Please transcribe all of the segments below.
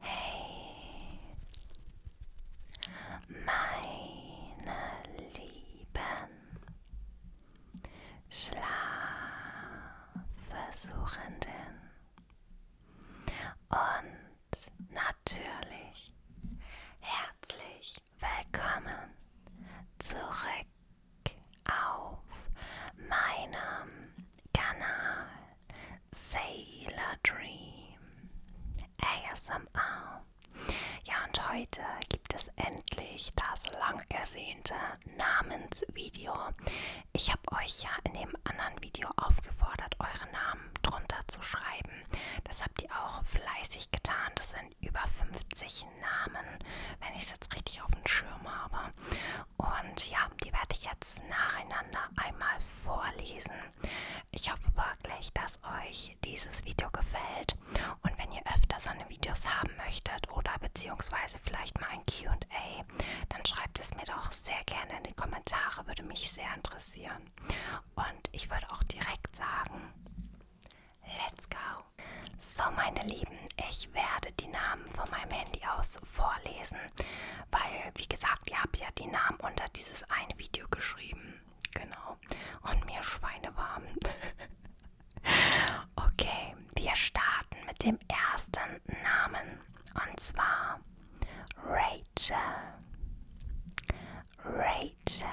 Hey, meine Lieben, Schlafversuchenden und natürlich herzlich willkommen zurück auf meinem Kanal Sailor Dream ASMR. Ja, und heute gibt es endlich das lang ersehnte Namensvideo. Ich habe euch ja in dem anderen Video aufgefordert, eure Namen drunter zu schreiben. Das habt ihr auch fleißig getan. Das sind über 50 Namen, wenn ich es jetzt richtig auf dem Schirm habe. Und ja, die werde ich jetzt nacheinander einmal vorlesen. Ich hoffe wirklich, dass euch dieses Video gefällt. Und wenn ihr öfter so eine Videos haben möchtet oder beziehungsweise vielleicht mal ein QA, dann schreibt es mir doch sehr gerne in die Kommentare, würde mich sehr interessieren. Und ich würde auch direkt sagen, Let's go! So, meine Lieben, ich werde die Namen von meinem Handy aus vorlesen, weil, wie gesagt, ihr habt ja die Namen unter dieses eine Video geschrieben. Genau. Und mir schweinewarm. okay, wir starten mit dem ersten Namen. Und zwar Rachel. Rachel.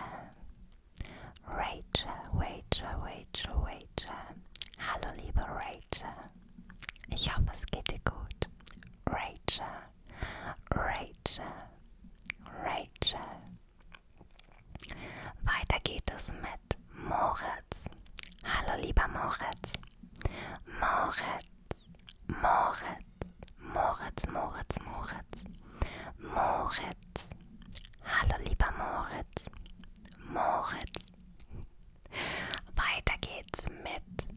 Rachel, Rachel, Rachel, Rachel. Hallo liebe Rachel. Ich hoffe, es geht dir gut. Rachel, Rachel, Rachel. Weiter geht es mit Moritz. Hallo lieber Moritz. Moritz, Moritz, Moritz, Moritz, Moritz. Moritz, Moritz. Hallo lieber Moritz. Moritz. Weiter geht's mit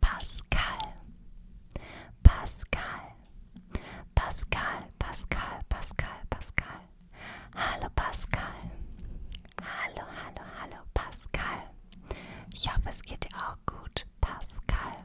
Pascal. Pascal. Pascal, Pascal, Pascal, Pascal. Hallo Pascal. Hallo, hallo, hallo Pascal. Ich hoffe, es geht dir auch gut, Pascal.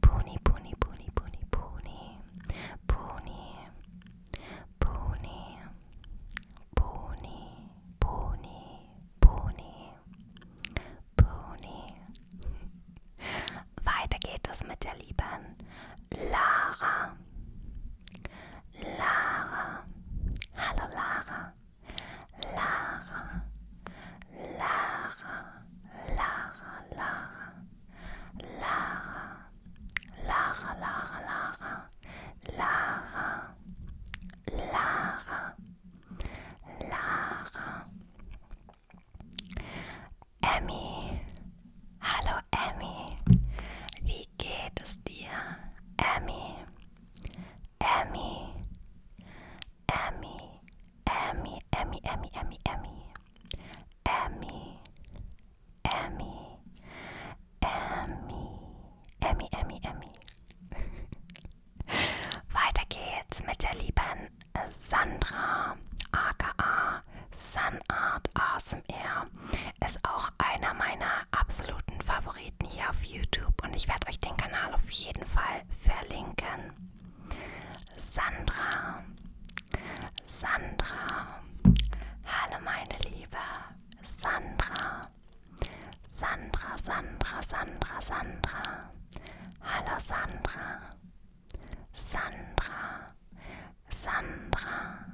Pony, Pony, Pony, Pony, Pony, Pony, Pony, Pony, Pony, Pony, Pony. Weiter geht es mit der lieben Lara. Lara. Hallo Lara. Lara. Lara. Lara, Lara, Lara, Lara, Lara, Lara, Lara, Lara, Lara. Emmy, hallo Emmy, wie geht es dir? Emmy, Emmy, Emmy, Emmy, Emmy, Emmy, Emmy, Emmy, Emmy, Emmy, Emmy, Emmy, Emmy, Emmy. Weiter geht's mit der lieben Sandra, aka Sunart ASMR. Ist auch einer meiner absoluten Favoriten hier auf YouTube und ich werde euch den Kanal auf jeden Fall verlinken. Sandra. Sandra. Hallo meine Liebe. Sandra. Sandra, Sandra, Sandra, Sandra. Hallo Sandra. Sandra. Sandra.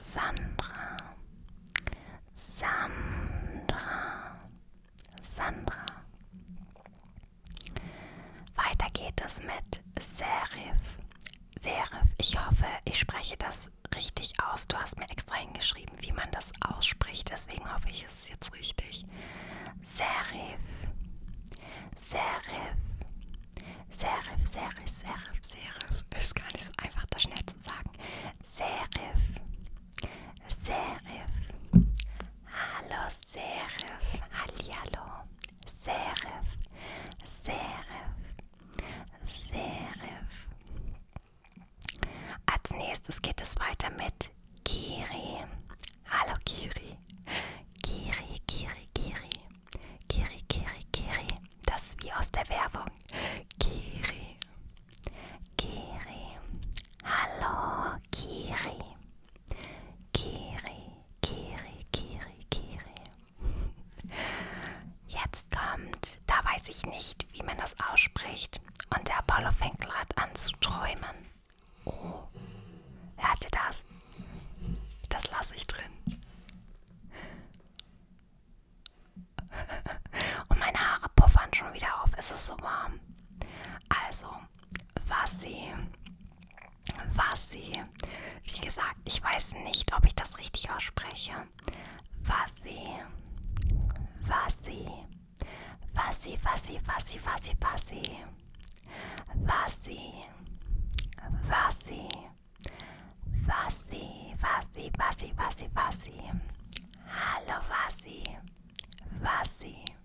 Sandra. Sandra. Sandra. Weiter geht es mit Serif. Serif, ich hoffe, ich spreche das richtig aus. Du hast mir extra hingeschrieben, wie man das ausspricht, deswegen hoffe ich, es ist jetzt richtig. Serif. Serif. Serif, Serif, Serif, Serif. Ist gar nicht so einfach, das schnell zu sagen. Serif. Serif. Hallo Serif, Hallihallo, Serif, Serif, Serif. Als nächstes geht es weiter mit Kiri. Hallo Kiri, Kiri, Kiri, Kiri, Kiri, Kiri, Kiri. Das ist wie aus der Werbung. Kiri, Kiri. Hallo Kiri. Kiri, Kiri, Kiri, Kiri. Jetzt kommt, da weiß ich nicht, wie man das ausspricht. Und der Apollo fängt gerade an zu träumen. Oh, hört ihr das? Das lasse ich drin. Und meine Haare puffern schon wieder auf. Es ist so warm. Also, was sie, was sie, wie gesagt, ich weiß nicht, ob ich das richtig ausspreche, was sie, was sie, was sie, was sie, was sie, was sie, was sie, was sie, was sie, was sie, was sie, was sie, was sie, was sie, hallo was sie, was sie.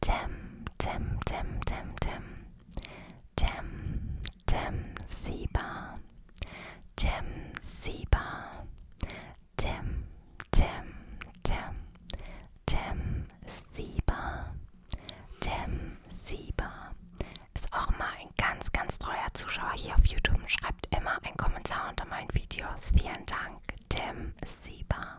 Tem, Tem, Tem, Tem, Tem, Tem, Tem, Siba, Tem, Siba, Tem, Tem, Tem, Tem, Siba, Tem, Siba. Ist auch mal ein ganz, ganz treuer Zuschauer hier auf YouTube und schreibt immer einen Kommentar unter meinen Videos. Vielen Dank, Tem, Siba.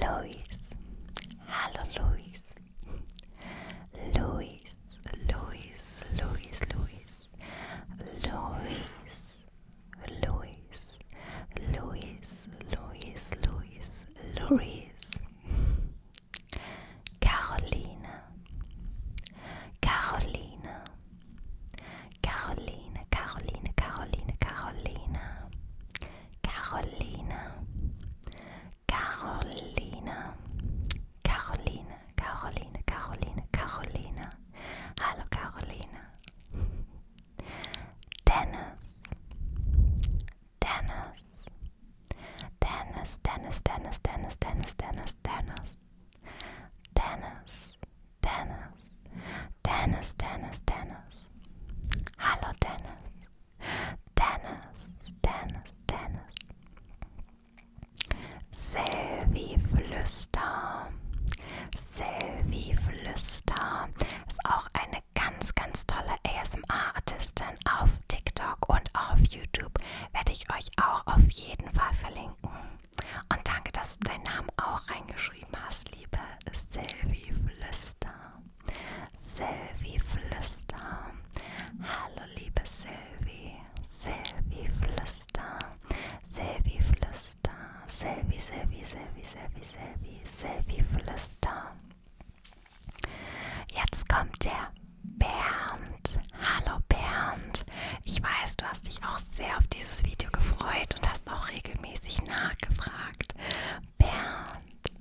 Louis. Hello, Louis. Louis, Louis, Louis, Louis. Louis, Louis, Louis, Louis, Louis, Louis. Carolina. Carolina. Carolina, Carolina, Carolina, Carolina. Carolina, Carolina, Carolina, Carolina, Carolina, Carolina. Hallo Carolina. Dennis, Dennis, Dennis, Dennis, Dennis, Dennis, Dennis, Dennis, Dennis, Dennis, Dennis, Dennis, Dennis, Dennis. Hallo Dennis. Dennis, Dennis, Dennis. Selvi Flüster. Selvi Flüster ist auch eine ganz, ganz tolle ASMR-Artistin auf TikTok und auch auf YouTube. Werde ich euch auch auf jeden Fall verlinken. Und danke, dass du deinen Namen auch reingeschrieben hast, liebe Selvi Flüster. Sylvie Flüster. Hallo liebe Sylvie. Sylvie Flüster. Sylvie Flüster. Sylvie, Sylvie, Sylvie, Sylvie, Sylvie, Sylvie Flüster. Jetzt kommt der Bernd. Hallo Bernd. Ich weiß, du hast dich auch sehr auf dieses Video gefreut und hast auch regelmäßig nachgefragt. Bernd,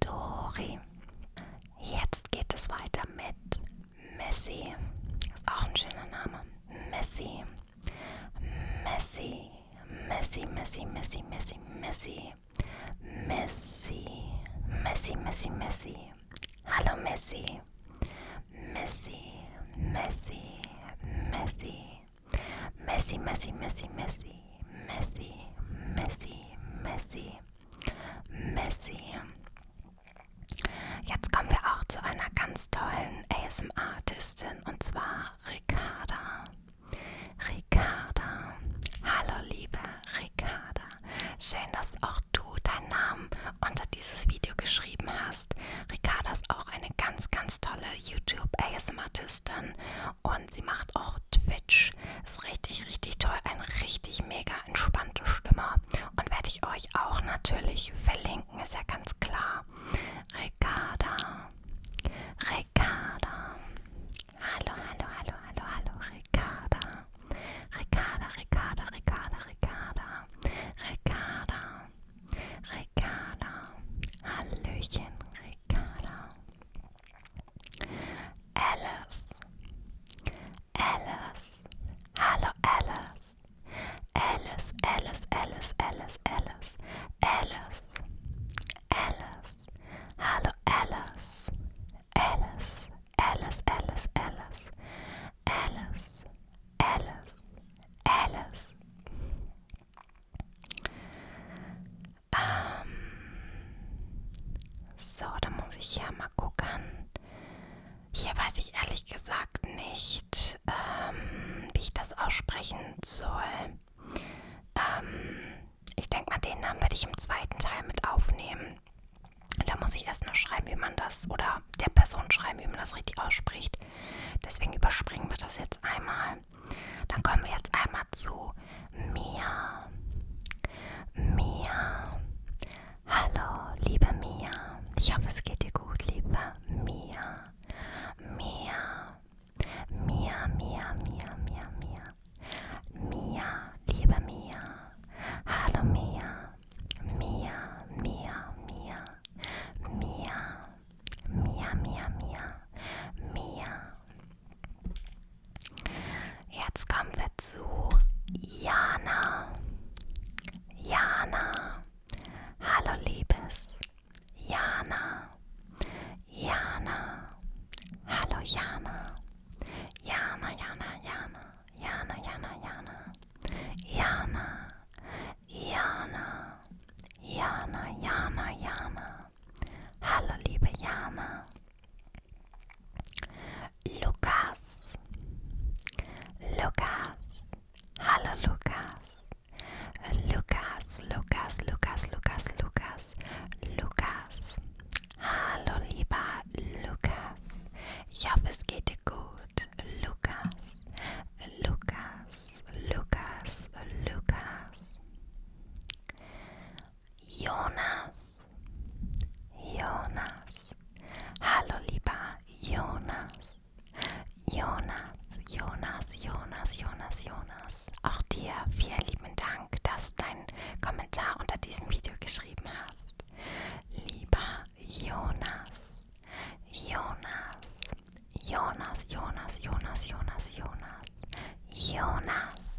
Dori. Jetzt geht es weiter mit Messi. Ist auch ein schöner Name. Messi. Messi. Messi, Messi, Messi, Messi, Messi. Messi. Messi, Messi, Messi. Hallo Messi. Messi. Messi. Messi. Messi, Messi, Messi, Messi. Messi, Messi, Messi, Messi. Jetzt kommen wir auch zu einer ganz tollen ASM-Artistin und zwar Ricarda. Ricarda. Hallo liebe Ricarda. Schön, dass auch du deinen Namen unter dieses Video geschrieben hast. Ricarda ist auch eine ganz, ganz tolle YouTube-ASM-Artistin und sie macht auch Twitch. Ist richtig, richtig toll. Eine richtig mega entspannte Stimme. Und werde ich euch auch natürlich verlinken. Ist ja ganz klar. Ricarda. Ricarda. Hallo, hallo, hallo, hallo, hallo. Ricarda. Ricarda, Ricarda, Ricarda, Ricarda. Ricarda. Ricarda. Hallöchen, Ricarda. Alice, Alice, hello Alice, Alice, Alice, Alice, Alice, Alice, Alice, Alice, hello Alice, Alice, Alice, Alice, Alice, Alice, Alice, Alice. Ähm, so, da muss ich hier mal gucken. Hier weiß ich ehrlich gesagt nicht, ähm, wie ich das aussprechen soll. Ähm, ich denke mal, den Namen werde ich im zweiten Teil mit aufnehmen. Da muss ich erst nur schreiben, wie man das, oder der Person schreiben, wie man das richtig ausspricht. Deswegen überspringen wir das jetzt einmal. Dann kommen wir jetzt einmal zu Mia. Mia. Hallo, liebe Mia. Ich hoffe, es geht dir gut, liebe Mia. Mia. Mia, Mia, Mia, Mia, Mia. Mia, liebe Mia. Hallo, Mia. Mia, Mia, Mia. Mia. Mia, Mia, Mia. Mia. Jetzt kommen wir zu Jana. Jana. Hallo Liebes. Jana. Jana. Hallo Jana. Jana, Jana, Jana. Jana, Jana, Jana. Jana. Jana. Jana, Jana, Jana. Hallo liebe Jana. Lukas, Lukas, hallo Lukas, Lukas, Lukas, Lukas, Lukas, Lukas, Lukas, hallo lieber Lukas, ich hoffe es geht dir gut, Lukas, Lukas, Lukas, Lukas. Jonas. Jonas. Hallo lieber Jonas. Jonas, Jonas, Jonas, Jonas, Jonas. Auch dir vielen lieben Dank, dass du deinen Kommentar unter diesem Video geschrieben hast. Lieber Jonas. Jonas. Jonas, Jonas, Jonas, Jonas, Jonas. Jonas.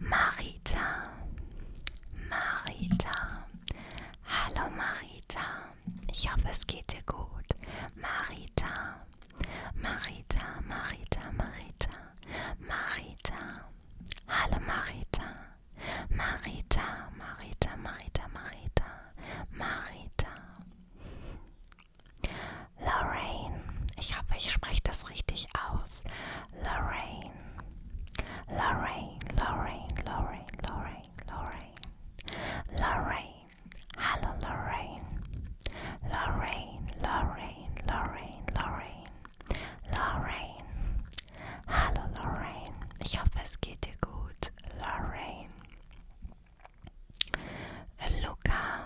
Marita, Marita, hallo Marita, ich hoffe es geht dir gut. Marita, Marita, Marita, Marita, Marita, hallo Marita, Marita, Marita, Marita, Marita, Marita. Lorraine. Ich hoffe, ich spreche das richtig aus. Lorraine. Lorraine, Lorraine, Lorraine, Lorraine, Lorraine. Lorraine. Hallo Lorraine. Lorraine, Lorraine, Lorraine, Lorraine. Lorraine. Hallo Lorraine. Ich hoffe, es geht dir gut. Lorraine. Luca.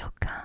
Luca.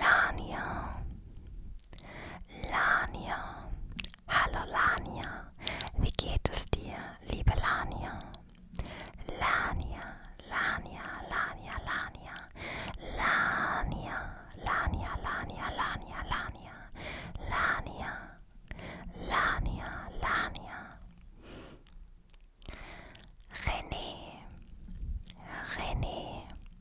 Lania. Lania. Hallo Lania. Wie geht es dir, liebe Lania? Lania, Lania, Lania, Lania. Lania, Lania, Lania, Lania, Lania. Lania. Lania, Lania. René. René.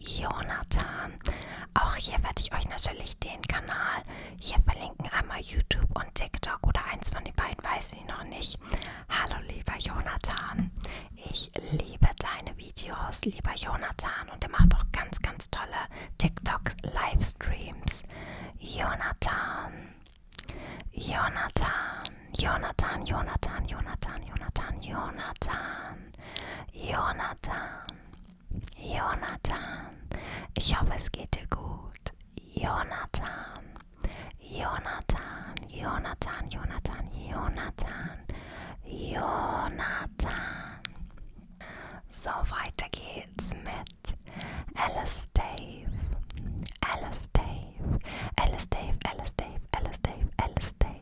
Jonathan. Auch hier werde ich euch natürlich den Kanal hier verlinken. Einmal YouTube und TikTok oder eins von den beiden, weiß ich noch nicht. Hallo lieber Jonathan. Ich liebe deine Videos, lieber Jonathan. Und er macht auch ganz, ganz tolle TikTok-Livestreams. Jonathan. Jonathan. Jonathan, Jonathan, Jonathan, Jonathan, Jonathan. Jonathan, Jonathan, ich hoffe es geht dir gut. Jonathan, Jonathan, Jonathan, Jonathan, Jonathan, Jonathan. So, weiter geht's mit Alice Dave, Alice Dave, Alice Dave, Alice Dave, Alice Dave, Alice Dave.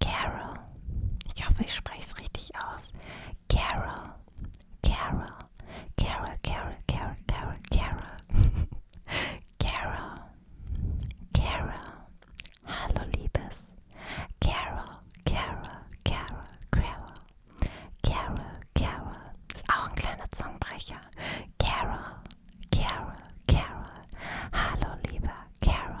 Carol. Ich hoffe, ich spreche es richtig aus. Carol. Carol. Carol, Carol, Carol, Carol, Carol. Carol. Carol. Hallo, Liebes. Carol, Carol, Carol, Carol. Carol, Carol. Ist auch ein kleiner Zungenbrecher. Carol, Carol, Carol. Hallo, lieber Carol.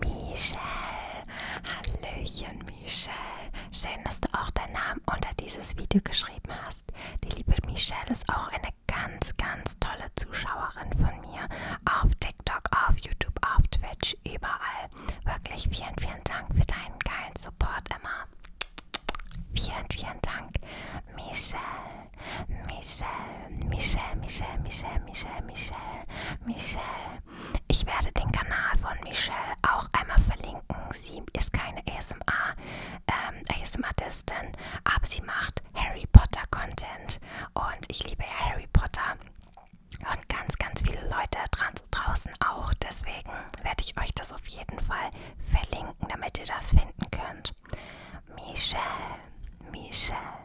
Michelle. Hallöchen, Michelle. Schön, dass du auch deinen Namen unter dieses Video geschrieben hast. Die liebe Michelle ist auch eine ganz, ganz tolle Zuschauerin von mir. Auf TikTok, auf YouTube, auf Twitch, überall. Wirklich vielen, vielen Dank für deinen geilen Support immer. Vielen, vielen Dank, Michelle. Michelle. Michelle, Michelle, Michelle, Michelle, Michelle, Michelle. Ich werde den Kanal von Michelle auch einmal verlinken. Sie ist keine ASMR, ähm, ASMR-Distin, aber sie macht Harry Potter-Content. Und ich liebe Harry Potter. Und ganz, ganz viele Leute draußen auch. Deswegen werde ich euch das auf jeden Fall verlinken, damit ihr das finden könnt. Michelle, Michelle.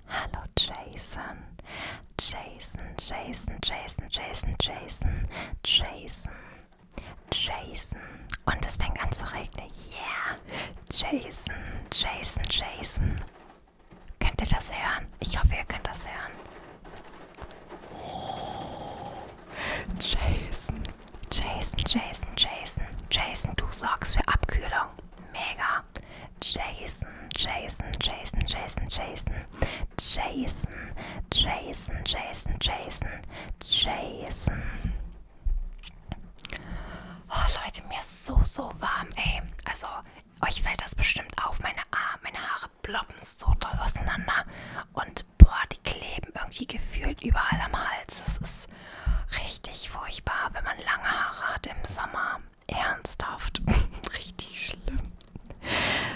Hallo Jason. Jason, Jason, Jason, Jason, Jason, Jason, Jason. Und es fängt an zu regnen. Yeah. Jason, Jason, Jason. Könnt ihr das hören? Ich hoffe, ihr könnt das hören. Oh. Jason, Jason, Jason, Jason. Jason, du sorgst für Abkühlung. Mega. Jason, Jason, Jason, Jason, Jason, Jason, Jason, Jason, Jason, Jason. Oh Leute, mir ist so, so warm, ey. Also, euch fällt das bestimmt auf. Meine Arme, meine Haare ploppen so doll auseinander. Und boah, die kleben irgendwie gefühlt überall am Hals. Das ist richtig furchtbar, wenn man lange Haare hat im Sommer. Ernsthaft. Richtig schlimm.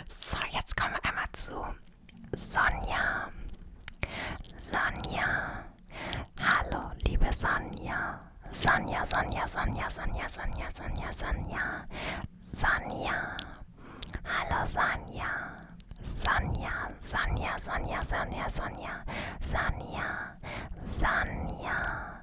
So, jetzt kommen wir einmal zu Sonja. Sonja. Hallo, liebe Sonja. Sonja, Sonja, Sonja, Sonja, Sonja, Sonja, Sonja. Sonja. Hallo, Sonja. Sonja, Sonja, Sonja, Sonja, Sonja, Sonja, Sonja,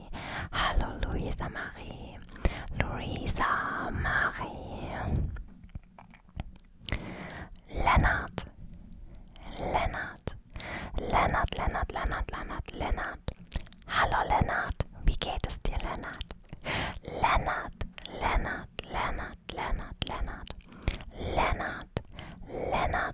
Marie. Hallo Luisa Marie. Luisa Marie. Lennart. Lennart. Lennart, Lennart, Lennart, Lennart, Lennart. Hallo Lennart. Wie geht es dir, Lennart? Lennart, Lennart, Lennart, Lennart, Lennart. Lennart, Lennart.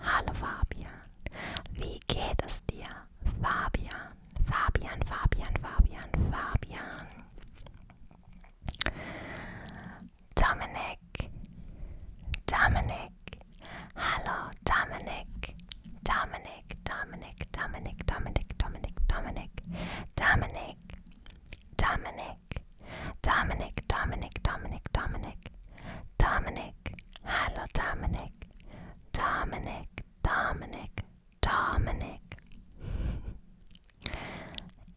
Hallo Fabian, wie geht es dir? Fabian, Fabian, Fabian, Fabian, Fabian. Dominik, Dominik, hallo Dominik, Dominik, Dominik, Dominik, Dominik, Dominik, Dominik, Dominik, Dominik, Dominik, Dominik, Dominik, Dominik. Dominic, hallo Dominic, Dominic, Dominic, Dominic.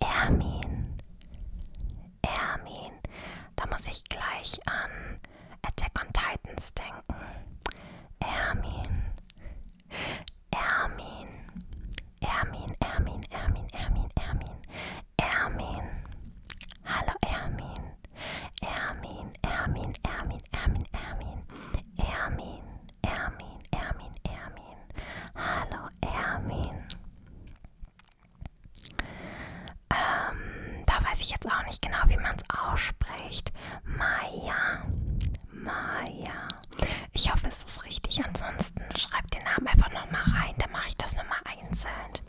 Ermin, Ermin, da muss ich gleich an Attack on Titans denken. Ermin, Ermin, Ermin, Ermin, Ermin, Ermin, Ermin, Ermin. Hallo Ermin. Ermin, Ermin, Ermin, Ermin, Ermin. Ermin, Ermin, Ermin, Ermin. Hallo Ermin. Ähm, da weiß ich jetzt auch nicht genau, wie man es ausspricht. Maya. Maya. Ich hoffe, es ist richtig. Ansonsten schreibt den Namen einfach nochmal rein. Dann mache ich das nochmal einzeln.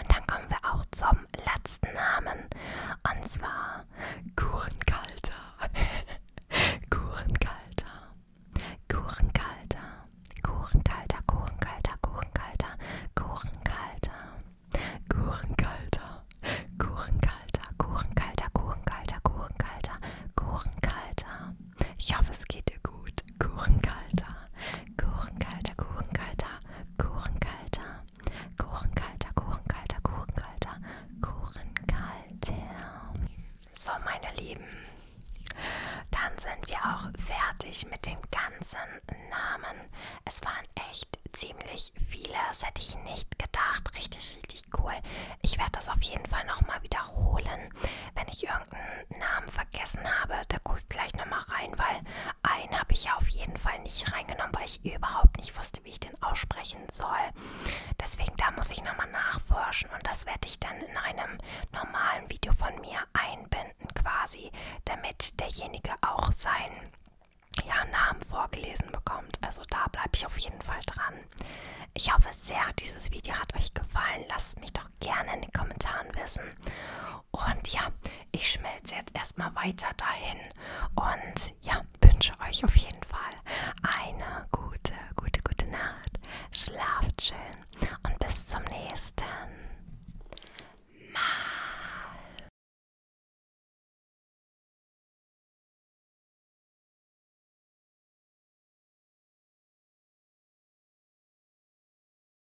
Und dann kommen wir auch zum letzten Namen. Und zwar Kuchenkalter. Kuchenkalter. Kuchenkalter. Kuchenkalter, Kuchenkalter, Kuchenkalter, Kuchenkalter. Kuchenkalter. Kuchenkalter, Kuchenkalter, Kuchenkalter, Kuchenkalter, Kuchenkalter. Ich hoffe, es geht dir gut. Kuchenkalter. Kuchenkalter, Kuchenkalter, Kuchenkalter, Kuchenkalter, Kuchenkalter, Kuchenkalter, Kuchenkalter. So, meine Lieben, dann sind wir auch fertig mit dem ganzen Namen. Es waren echt ziemlich viele, das hätte ich nicht gedacht. Richtig, richtig cool. Ich werde das auf jeden Fall nochmal wiederholen. Wenn ich irgendeinen Namen vergessen habe, da gucke ich gleich nochmal rein, weil einen habe ich ja auf jeden Fall nicht reingenommen, weil ich überhaupt nicht wusste, wie ich den aussprechen soll. Deswegen da muss ich nochmal nachforschen und das werde ich dann in einem normalen Video von mir einbinden quasi, damit derjenige auch seinen ja, Namen vorgelesen bekommt. Also da bleibe ich auf jeden Fall dran. Ich hoffe sehr, dieses Video hat euch gefallen. Lasst mich doch doch gerne in den Kommentaren wissen. Und ja, ich schmelze jetzt erstmal weiter dahin und ja, wünsche euch auf jeden Fall eine gute, gute, gute Nacht. Schlaft schön und bis zum nächsten Mal.